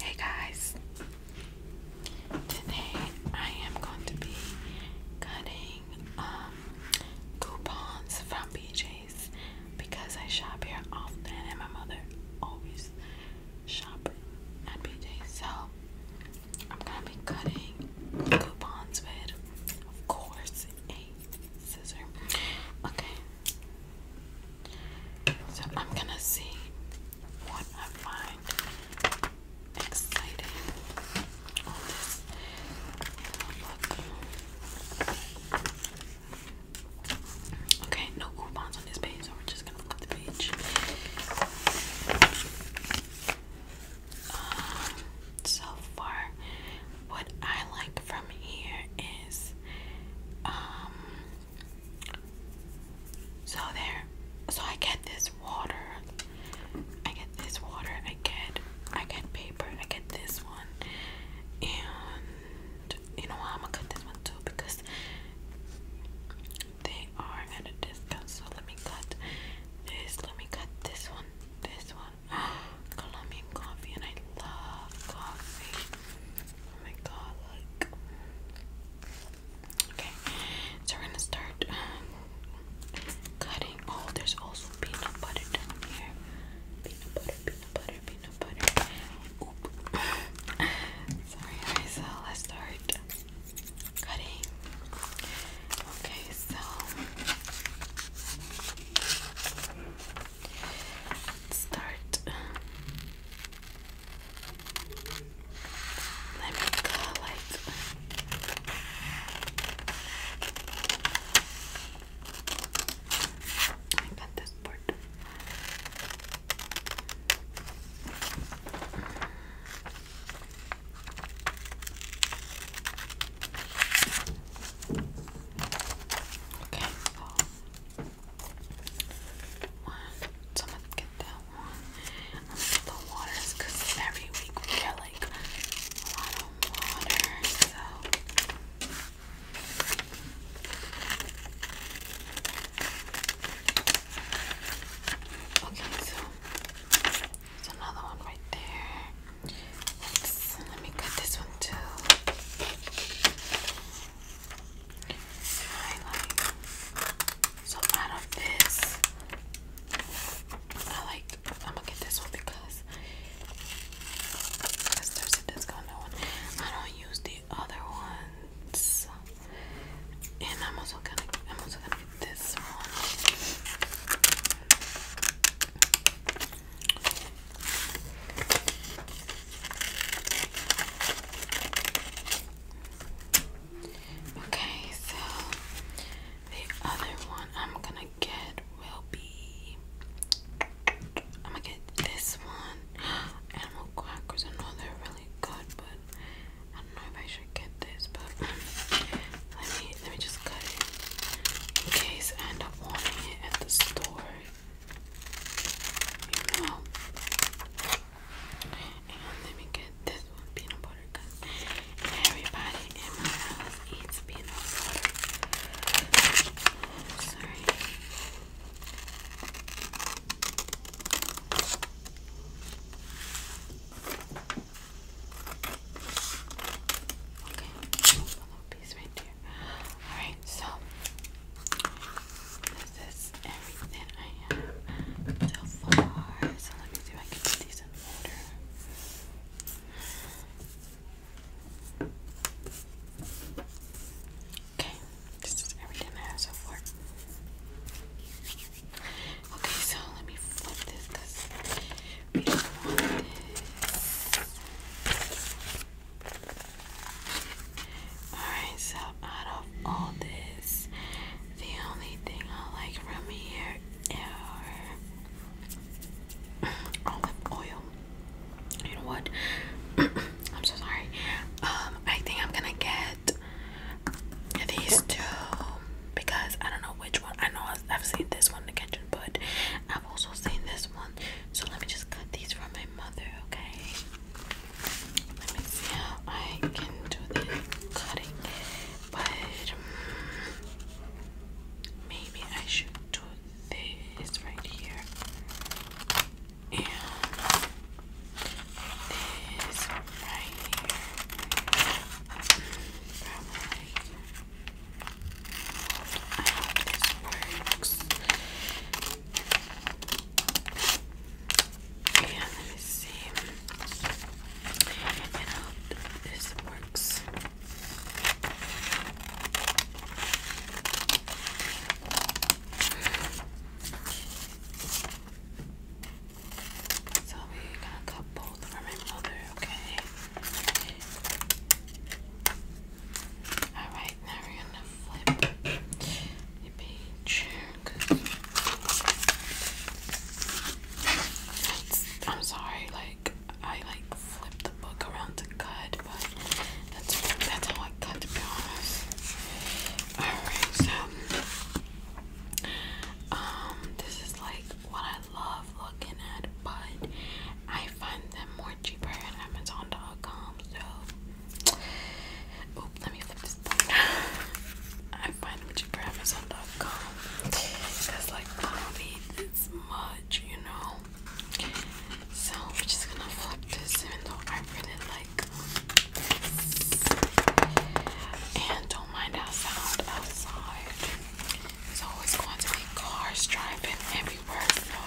Hey guys, today I am going to be cutting um, coupons from BJ's because I shop here often and my mother always shops at BJ's. So I'm going to be cutting coupons with, of course, a scissor. Okay. So I'm gonna see what I find exciting Okay, no coupons on this page, so we're just gonna look the page. Um, so far, what I like from here is, um, so there, so I get this water, I get this water, I get, I get paper, I get this one, and you know what, I'm gonna cut this one too because they are at a discount, so let me cut this, let me cut this one, this one, on Colombian coffee, and I love coffee. Oh my god, look. Okay, so we're gonna start um, cutting. Oh, there's also peanut butter down here. Peanut butter, peanut butter, peanut butter. Oop. Sorry, alright, so let's start cutting. Okay, so start. Let me collect. I got this part. Okay, well, one, so i get that one. I'm gonna get the waters because every week we get like a lot of water, so. Okay, so there's another one right there let me cut this one too. Highlight. So out of this, I like. I'm gonna get this one because because there's a discount one. I don't use the other ones, and I'm also gonna this one. Okay, so the other one I'm gonna get will be. I'm gonna get this one. Animal Quackers. I know they're really good, but I don't know if I should get this, but let me let me just cut it in case I end up wanting it at the store. You know. And let me get this one peanut butter Everybody in my house eats peanut butter. Sorry. Okay, little piece right there. Alright, so this is everything I have so far. So let me see if I can put these in order. Okay, this is everything I have so far. Okay, so let me flip this because we don't want this. Alright, so out of all this, the only thing I like from here are olive oil. You know what? I'm so sorry. Um, I think I'm gonna get these two because I don't know which one. I know I've seen this one in the kitchen, but I've also seen this one. So let me just cut these from my mother, okay? Let me see how I can do the cutting. But um, maybe I should do this right here. And this right here. Mm, I hope this works. And yeah, let me see. And I hope this works. So we gotta cut both for my mother, okay? Alright, now we're gonna flip the page. I'm sorry, like I like flip the book around to cut, but that's that's how I cut to be honest. Alright, so um this is like what I I love looking at, but I find them more cheaper at Amazon.com. So, oh, let me flip this. I find them cheaper Amazon.com because, like, not need this much, you know. So we're just gonna flip this, even though I really like this. And don't mind how sound outside. So it's going to be cars driving everywhere. So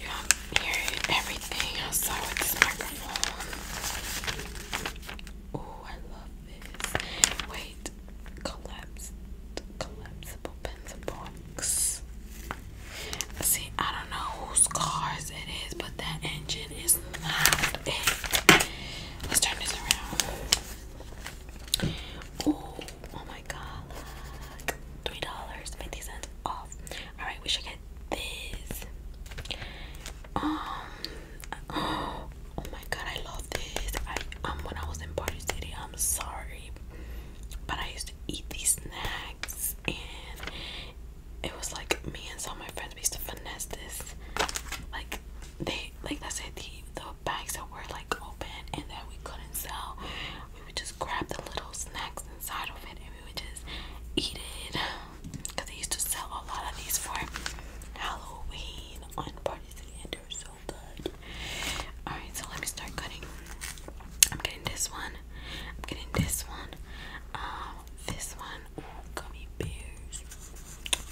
you know, I'm hearing with this microphone. Oh, I love this. Wait, collapsed, collapsible pencil box. See, I don't know whose cars it is, but that engine is not it. Let's turn this around. Oh, my god, $3.50 off. Alright, we should get this. Um, oh, my god, I love this. I um when I was in Party City, I'm sorry. But I used to eat these snacks and it was like me and some of my friends used to finesse this. Like they like I said the the bags that were like open and that we couldn't sell, we would just grab the little snacks inside of it and we would just eat it. Cause they used to sell a lot of these for Halloween on Party City and they're so good. Alright, so let me start cutting. I'm getting this one. I'm getting this one. Um, this one. Ooh, gummy bears.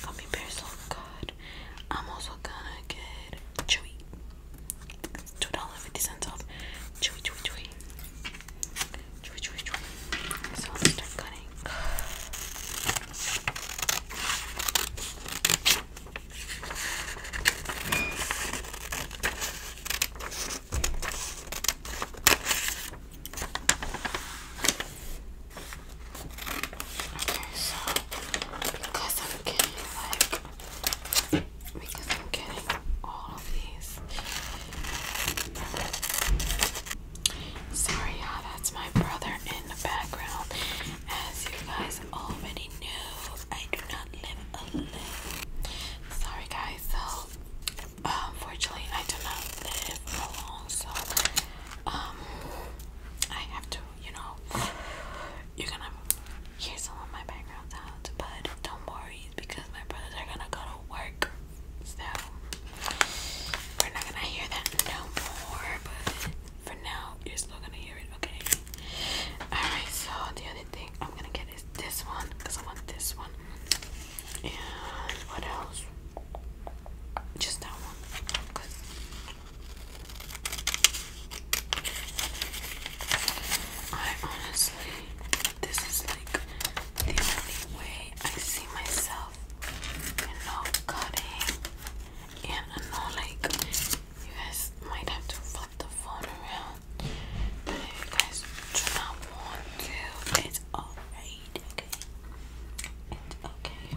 Gummy bears look good. I'm also gonna get chewy. Two dollars fifty cents off. Chewy, chewy, chewy. Chewy, chewy, chewy. So let's start cutting. Okay, so because I'm getting because I'm getting all of these. Sorry, y'all, that's my brother in the background. As you guys already knew, I do not live alone. Sorry, guys. So, unfortunately, um, I do not live alone. So, um, I have to, you know, you're gonna hear some of my background sounds, but don't worry, because my brothers are gonna go to work, so we're not gonna hear that no more, but for now, you're still gonna hear it, okay? Alright, so the other thing I'm gonna get is this one, because I want this one, and what else? just that one. Cause I honestly, this is like the only way I see myself, you know, cutting. And I know, like, you guys might have to flip the phone around, but if you guys do not want to, it's alright shade, okay? okay.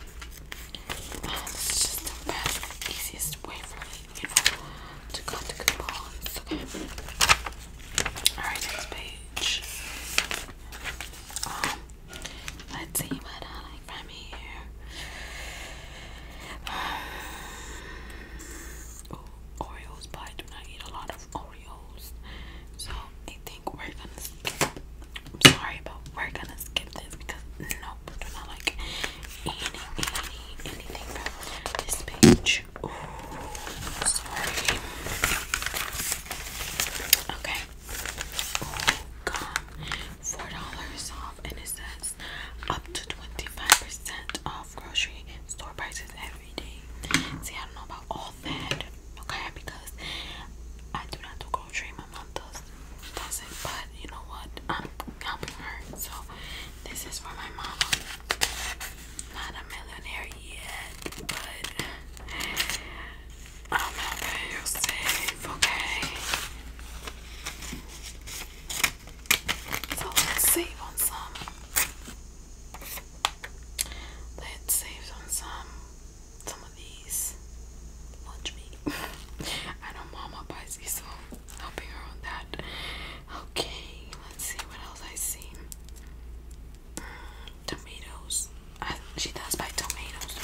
And um, just the best, easiest way for you to cut coupons, okay? Alright, next page. Um, let's see what I like from here. Um, oh, Oreos, I eat a lot of Oreos. So I think I'm sorry, but we're gonna skip this because nope, we're not like any, any, anything from this page. Ooh, sorry. Okay. Ooh, gone. Four dollars off, and it says up to twenty-five percent off grocery store prices every day. See, I don't know about all that okay? Because I do not do grocery. My mom does doesn't. But you know what? I'm helping her. So this is for my mama. Not a millionaire yet, but I'm helping you save, okay? So let's save on some. Let's save on some some of these lunch meat. I know Mama buys these, so helping her on that. Okay, let's see what else I see. Mm, tomatoes. I, she does buy tomatoes,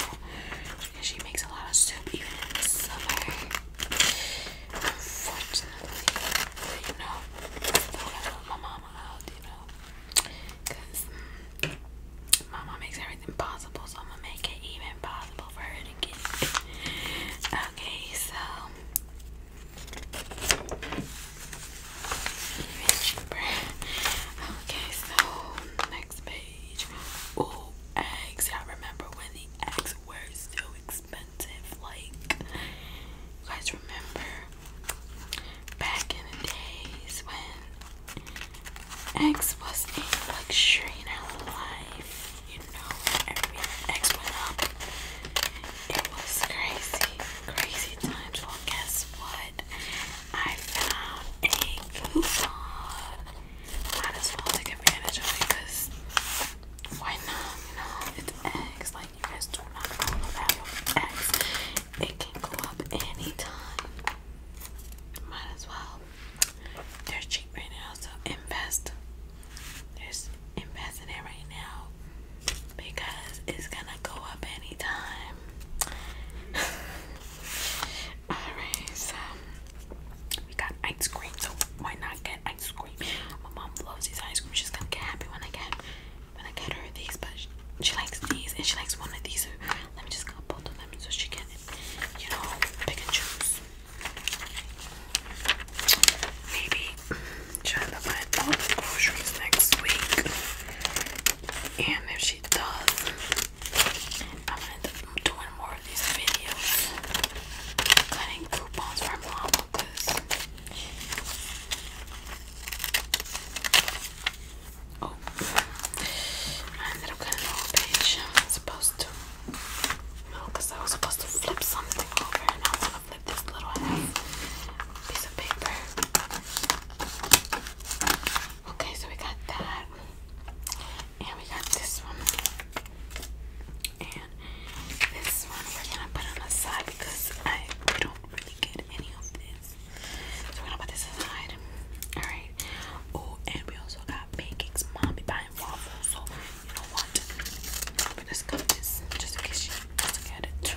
she makes a lot of soup even in the summer. Unfortunately, you know, I do my mama you know. Because Mama makes everything possible, so I'm gonna make it even possible for her to get Okay, so even cheaper. Okay, so next page. Ooh, eggs. I remember when the eggs were so expensive. Like, you guys remember Back in the days when X was a luxury in our life, you know, every X went up. It was crazy, crazy times. Well, guess what? I found a coupon. Might as well take advantage of it because why not? You know, it's X. Like, you guys do not know follow that X. It can go up anytime. Might as well. They're cheap right now, so invest. There's invest in it right now because it's gonna go up anytime. Alright, so we got ice cream, so why not get ice cream? My mom loves these ice cream. She's gonna get happy when I get when I get her these, but she, likes these and she likes one of these. let me just cut both of them so she can, you know, pick and choose. Maybe try to buy all the groceries next week. And if she does, I'm gonna end more of these videos. Cutting coupons for mama Oh, I ended up I'm supposed to. No, I was supposed to flip something over, and i flip this little piece of paper. Okay, so we got that, and we got this one, and this one we're gonna put on the side because I don't really get any of so we're gonna put this aside. Alright. Oh, and we also got pancakes. Mommy buying waffles. So you know what? We're going cut this just in case she doesn't get it.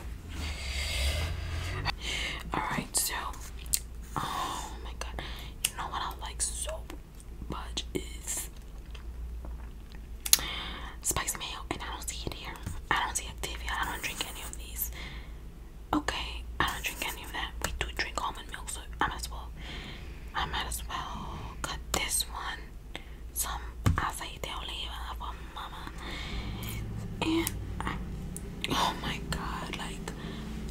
Alright, so oh my god. You know what I like so much is spice mayo and I don't see it here. I don't see Activia. I don't drink any of these. Okay, I don't drink any of that. We do drink almond milk, so I might as well. I might as well cut this one. Some aceite de oliva mama. And oh my god, like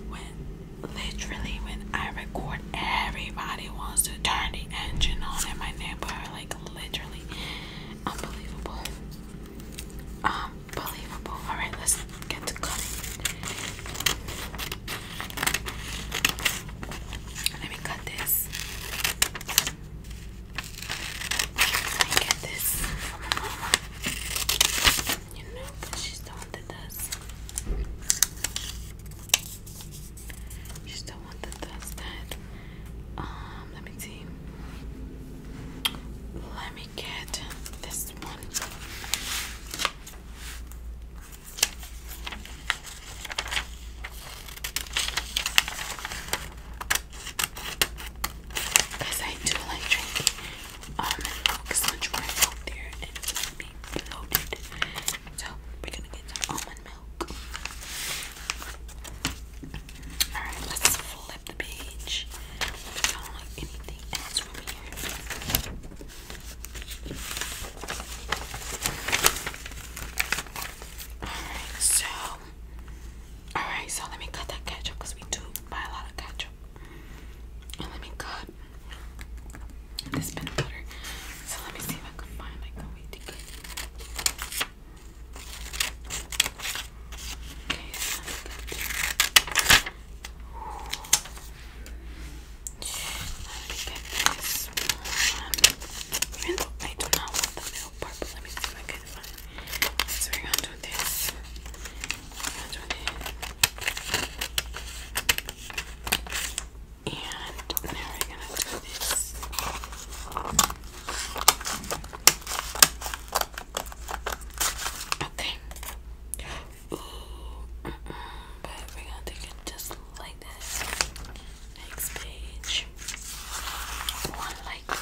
when literally when I record, everybody wants to turn the engine on in my neighborhood. Like literally, unbelievable. Unbelievable. Um, Alright, let's get to cutting. Let me cut this. Let me get this You know, because she's the one that does. She's the one that does that. Um, let me see. Let me get this one. Because I do like drinking um milk is much more healthier and it's gonna be So we're gonna get almond milk. Alright, let's flip the page. I don't like anything else from here. Alright, so. Alright, so let me cut that ketchup we do buy a lot of ketchup. And let me cut this peanut butter. So let me see if I can find like a way to get Okay, so that's get this I do not want the milk part, let me see if I can So we're gonna do this. do this. And now we're gonna do this. Okay. but we're gonna take it just like this. Next page. One oh, like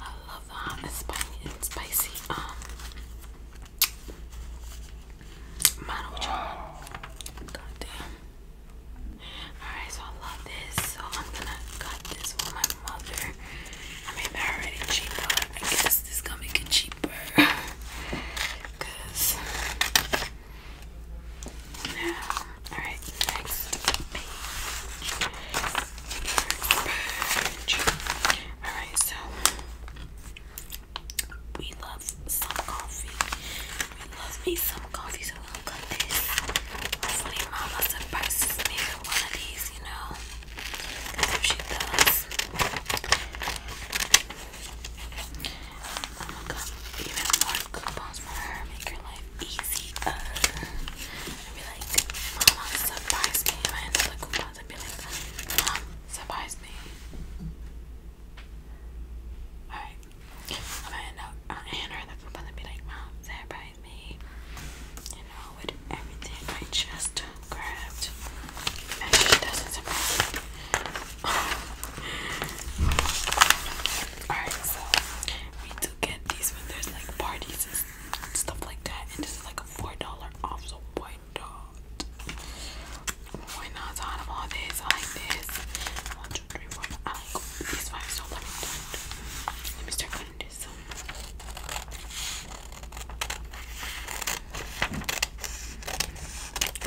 I love um, the hot spicy spicy. Um Model John. God damn. Alright, so I love this. So I'm gonna cut this for my mother. I mean, they're already cheap, but I guess this is gonna make it cheaper. Cause yeah. Alright, next Alright, so we love some coffee. We love some coffee, so goodness. Hopefully mama surprises me with one of these, you know. Cause if she does. I'm gonna even more coupons for her, make her life easy. I'd be like, Mama, surprise me. I had another coupons, i be like, Mom, surprise me. Alright, I'm gonna end up on Anna that's supposed be like, Mom, surprise me. You know, with everything I just grabbed. Alright, so we do get these when there's like parties and stuff like that. And this is like a $4 off, so why not? Why not? Out of this, like this so let me start. cutting this.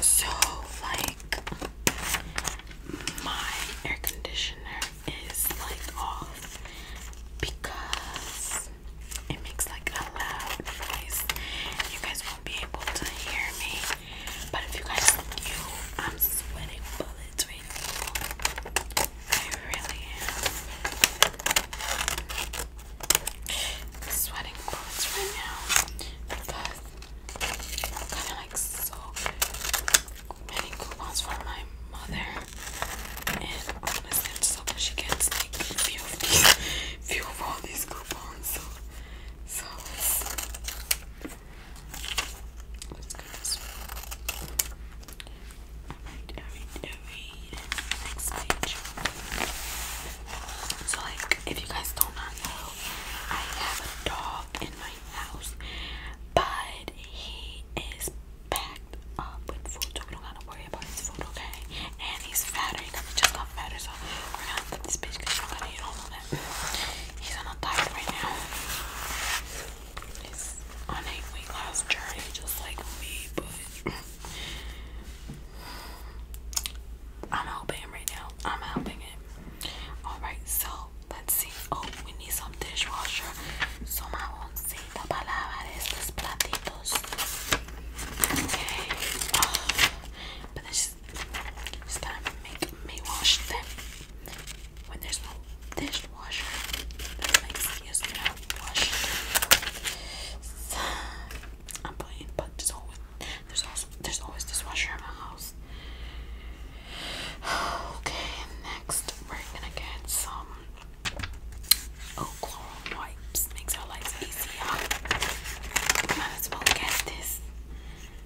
So, like, my air conditioner is like off because it makes like a loud noise. You guys won't be able to hear me, but if you guys knew, I'm sweating bullets it's reasonable. I really am sweating bullets right now because I'm gonna like so many coupons for my mother, and honestly, I'm she gets like few of these, few of all these coupons. So, so Let's So, like, if you guys do not know, I have a dog in my house, but he is packed up with food, so we don't gotta worry about his food, okay? And he's fatter, he just got fatter, so we're gonna flip this bitch because she to eat all He's on a diet right now. He's on a weight loss journey just like me, but I'm helping him right now. I'm helping him. Alright, so let's see. Oh, we need some dishwasher. So my oncita para lavar estos platitos. Okay. Oh, but this is time to make me wash them when there's no dishwasher, that makes you smell washer. So, I'm playing, but there's always there's also there's always dishwasher in my house. Okay, next we're gonna get some oh chloral wipes. Makes our lives easier. Might as well get this.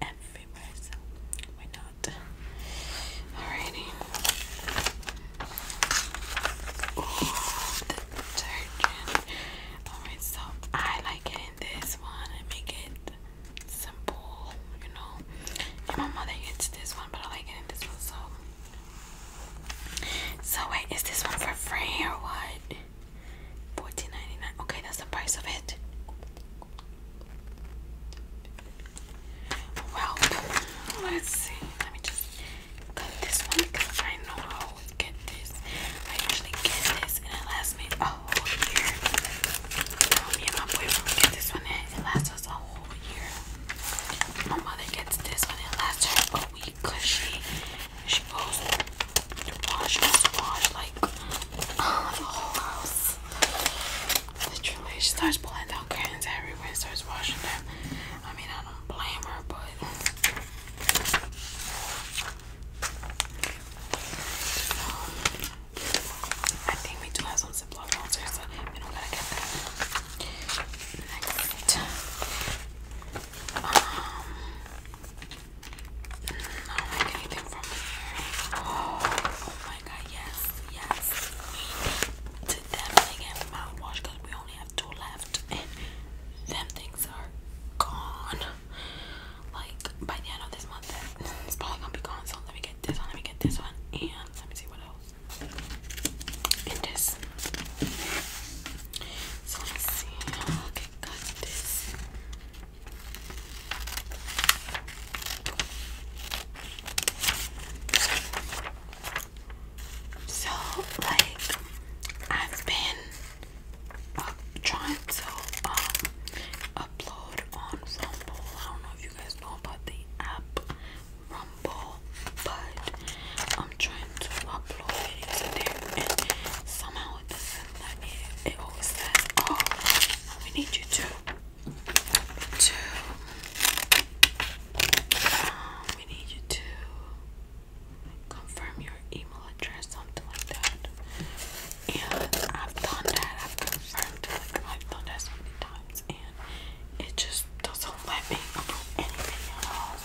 everywhere, so we not. Alrighty. Alright, so I like it this one and make it simple, you know. my mother gets this one, but I like it this one, so. So, wait, is this one for free or what? $14.99. Okay, that's the price of it. Well, let's see. Let me just cut this one because I know how to get this. I usually get this and it lasts me a whole year. me and my boyfriend get this one and it lasts us a whole year. My mother gets this one and it lasts her a week because she, she wash wash like the whole house. Literally, she starts pulling down curtains everywhere and starts washing them. I mean, I don't blame her, but. Um, I think we do have some Ziploc monsters, so we don't gotta get that. Next. Um, Oh, oh, my god, yes, yes. We definitely get mouthwash because we only have two left and them things are gone. Like by the end of this month it's probably gonna be gone. So let me get this one, let me get this one, and let me see what else. And this. let's see. Okay, got this. So, like, I've been uh, trying to um, upload on Rumble. I don't know if you guys know about the app Rumble, but I'm trying to upload videos there, and somehow it it always says, oh, we need you to, to, we need you to confirm your email address, something like that. And I've done that, I've confirmed I've done that so many times, and it just doesn't let me approve anything at all.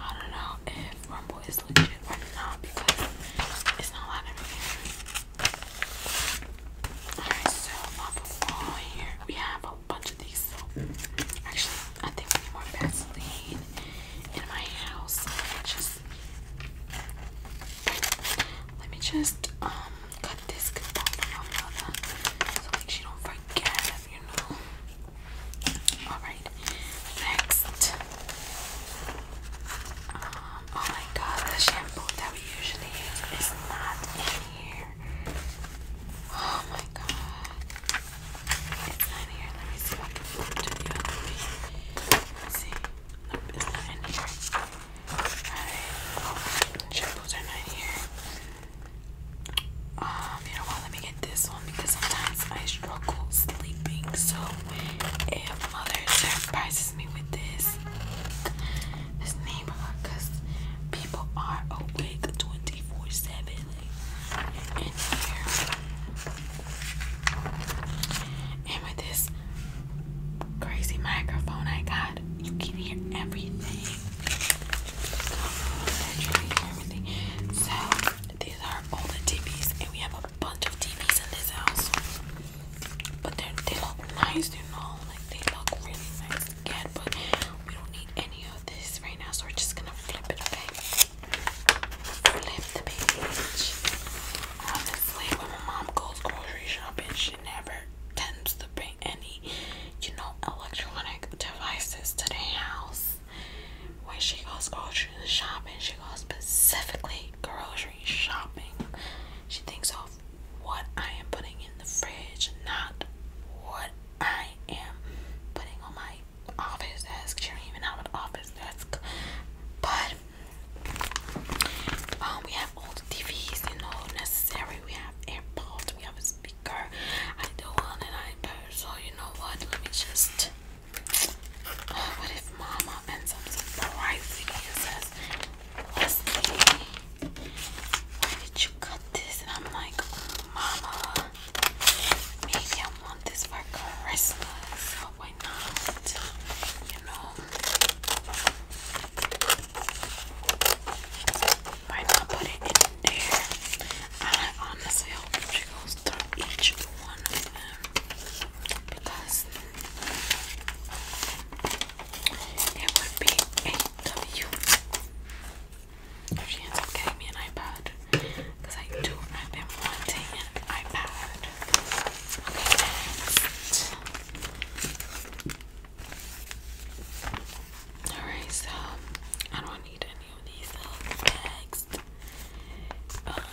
I don't know if Rumble is legit or not because it's not allowed everything. Alright, so off of all we have a bunch of these. actually, I think we need more Vaseline in my house. just let me just um cut this so she don't forget, you know. Alright, next um, oh my god, the shampoo that we usually use is not in here. Oh my god. It's not here. Let me see if I can flip to Let's see. it's not in here. Alright. Shampoos are not here. Um, you know what? Let me get this one because sometimes I struggle sleeping. So if mother surprises me with this this neighborhood people are awake 24-7 and with this crazy microphone I got you can hear everything so these are all the TVs, and we have a bunch of TVs in this house. But they they look nice, you know, like they look really nice But we don't need any of this right now, so we're just gonna flip it, okay? Flip the page. Honestly, when my mom goes grocery shopping, she never tends to bring any, you know, electronic devices to the house when she goes grocery shopping, she goes specifically grocery shopping. She thinks of what I am putting in the fridge, not what I am putting on my office desk. She don't even have an office desk. But um, we have all the TVs, you know, necessary. We have AirPods, we have a speaker. I do want an I so you know what? Let me just Oh, what if mama ends up surprising me and says, Leslie, did you cut this? And I'm like, Mama, maybe I want this for Christmas. why not? You know, why not put it in there? I honestly hope she goes through each one of them because it would be a W if she ends up getting me an iPad. Because I do, I've been wanting an iPad. Alright, so I don't need any of these. Uh, next. Um,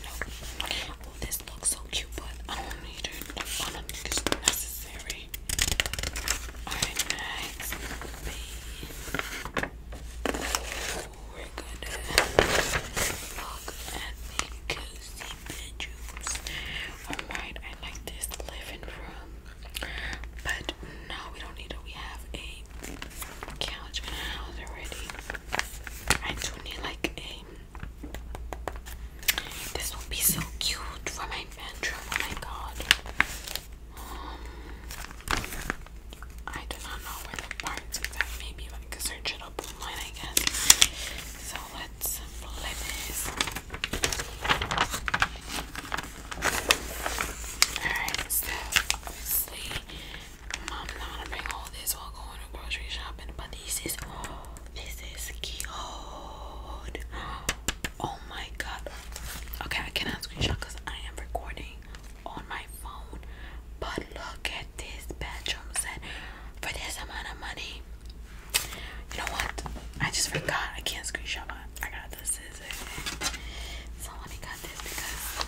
Oh, this looks so cute, but I don't need it. I don't think necessary. Alright, I like this living room. But no, we don't need it. We have a couch in our house already. I do need like a. This will be so cute for my bedroom. Oh my god. Um, I do not know where the parts is at. Maybe I can search it online, I guess. So let's flip this. Alright, so obviously Mom's not gonna bring all this while going to grocery shopping, but this is oh, this is cute. Oh my god. Okay, I cannot screenshot because I am recording on my phone. But look at this bedroom set for this amount of money. You know what? I just forgot. I can't screenshot. My, I got the scissors. Someone got this because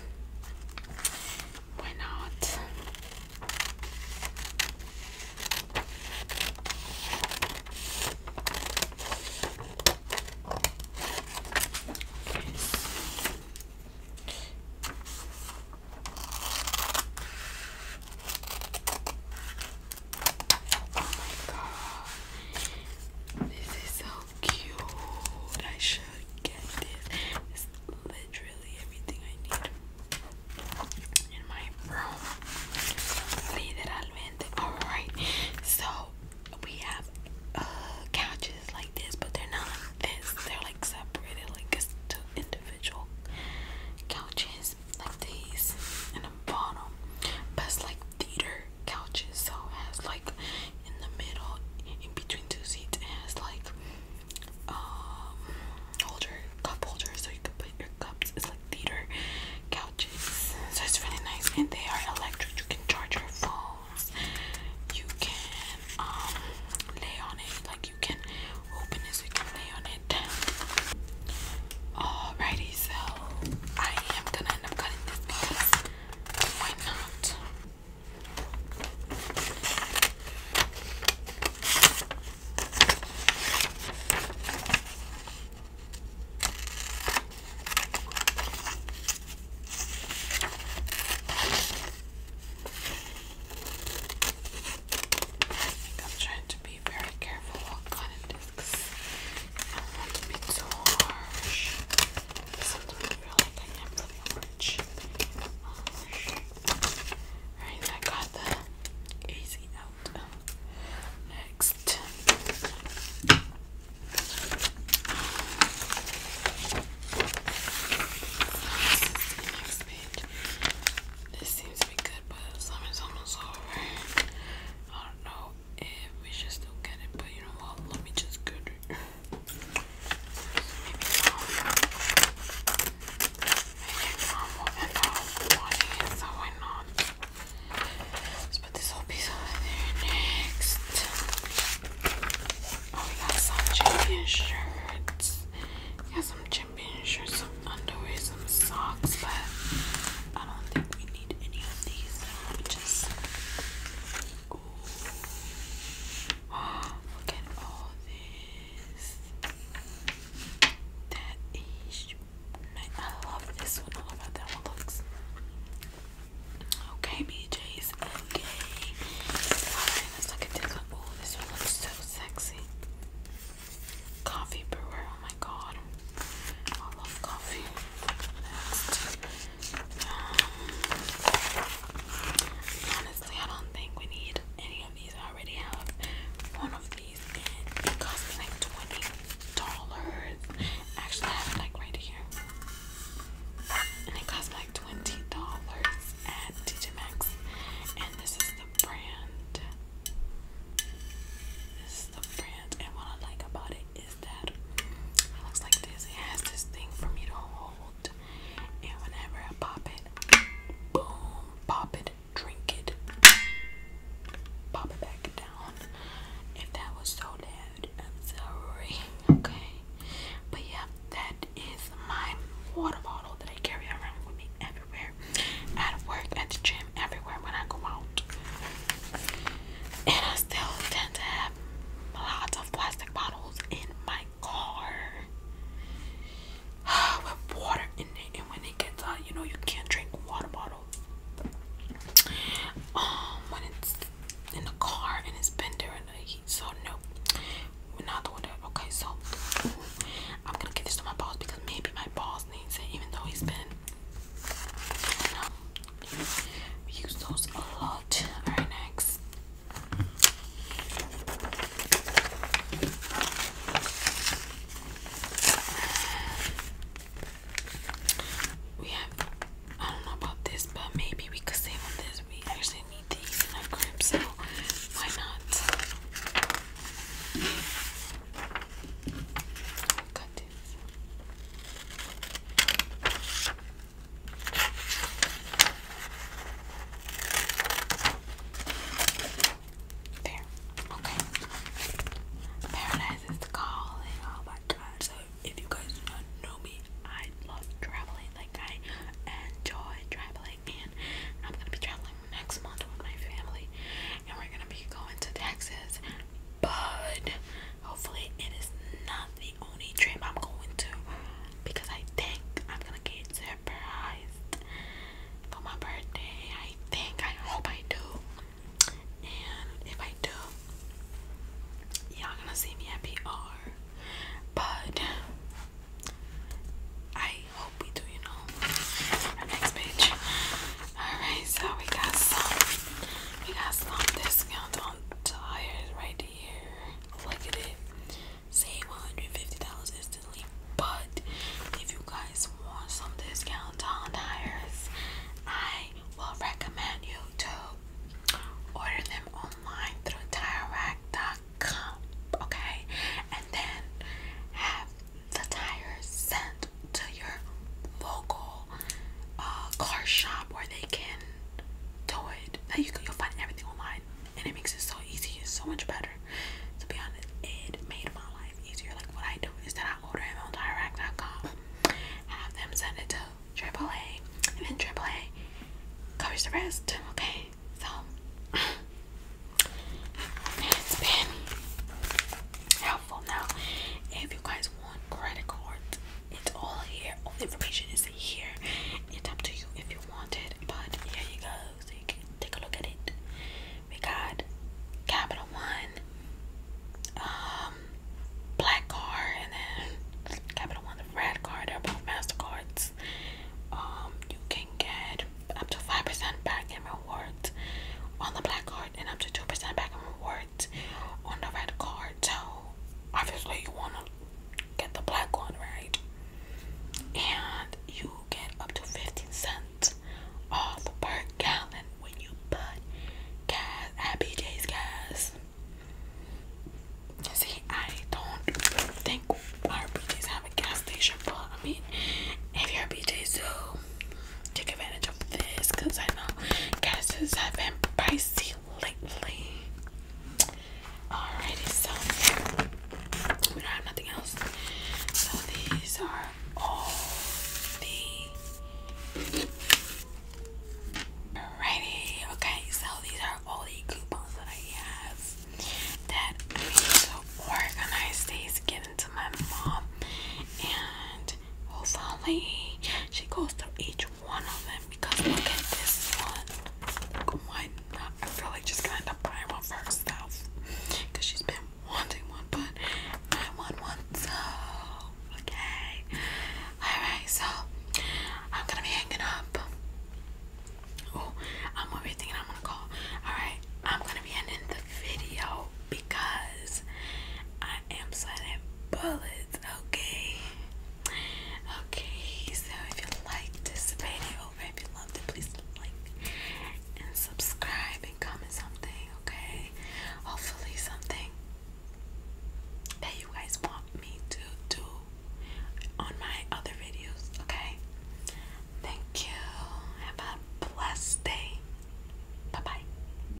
why not? Oh my god, this is so cute. I should get this. It's literally everything I need in my room. Literalmente. Alright, so we have uh, couches like this, but they're not this. They're like separated, like it's two individual couches, like these, and a bottom. But like theater couches, so has like in the middle, in between two seats. It has like um, holder cup holders so you can put your cups. It's like theater couches. So it's really nice and they are electric. You can charge your phones. You can um lay on it. Like you can open it you can lay on it. Alrighty, so I am gonna end up cutting this because why not? I'm trying to be very careful what kind discs. I don't want to be too harsh feel I got the easy out. Next. Next page. This seems to be good, but the is almost over. I don't know if we should still get it, but you know what? Let me just get it. Maybe Let's put this whole piece over there next. Oh, we got some champion shirts. We got some champion shirts, some underwear, some socks, but I don't think we need any of these. Just Look at all this. That is nice. I love this one. I love how that one looks. Okay, BJ's. Okay. Alright, let's look at this one. Oh, this one looks so sexy. Coffee brewer. Oh my god. I love coffee. Um, honestly, I don't think we need any of these. I already have one of these, it cost me like twenty dollars. Actually, I have like right here, and it cost like twenty dollars at TJ Maxx. And this is the brand. This is the brand, and what I like about it is that it looks like this. It has this thing for me to hold, and whenever I pop it, boom, pop it, drink it, pop it back down. If that was so loud, I'm sorry. Okay, but yeah, that is my water bottle that I carry around with me everywhere, at work, at the gym, everywhere when I go out. And I still tend to have lots of plastic bottles in my car with water in it, and when it gets hot, you know you can't drink water bottles. Um, when it's in the car and it's been the heat, so no, we're not doing that. Okay, so I'm gonna give this to my boss because maybe my boss needs it, even though he's been. Um, we use those a lot. Alright, next. We have, I don't know about this, but maybe we could save this. We actually need these in our crib, so why not? Cut this. There. Okay. Paradise is calling. Oh my god. So if you guys do not know me, I love traveling. Like I enjoy traveling and I'm gonna be traveling next month with my family and we're gonna be going to Texas. But Hopefully, it is not the only trip I'm going to because I think I'm gonna get surprised for my birthday. I think, I hope I do. And if I do, y'all gonna see me at PR. But I hope we do, you know. Next page. Alright, so we got some. We got some discount on Tires right here. Look at it. Save $150 instantly. But if you guys want some discount on tires, I will recommend you to order them online through tirerack.com. Okay? And then have the tires sent to your local uh, car shop where they can tow it. Now you can you'll find everything online, and it makes it so easy. It's so much better. To be honest, it made my life easier. Like what I do is that I order it on direct.com, have them send it to AAA, and then AAA covers the rest. Okay, so. It's been helpful. Now, if you guys one credit card. It's all here. All the information is here. It's up to you if you want it. But here you go. So you can take a look at it. We got Capital One, um, Black Card, and then Capital One, the Red Card. They're both MasterCards. Um, you can get up to 5% back in rewards on the Black Card and up to 2% back in rewards on the red card. So obviously you wanna get the black one, right? And you get up to 15 cents off per gallon when you put gas at BJ's gas. See, I don't think our BJ's have a gas station, but I mean, if you're a BJ, so take advantage of this because I know Guys, i has been pricey lately. Alrighty, so we don't have nothing else. So these are all the Alrighty, okay, so these are all the coupons that I have that I need to organize these, get into my mom, and hopefully oh, she goes through each one of them because look at this one. why not? I feel like she's gonna end one for herself because she's been wanting one, but I want one so okay. Alright, so I'm gonna be hanging up. Oh, I'm going thinking I'm gonna call. Alright, I'm gonna be ending the video because I am sweating bullets, okay? Okay, so if you like this video, if you loved it, please like and subscribe and comment something, okay? Hopefully something that you guys want me to do on my other videos, okay? Thank you. Have a blessed day. Bye bye.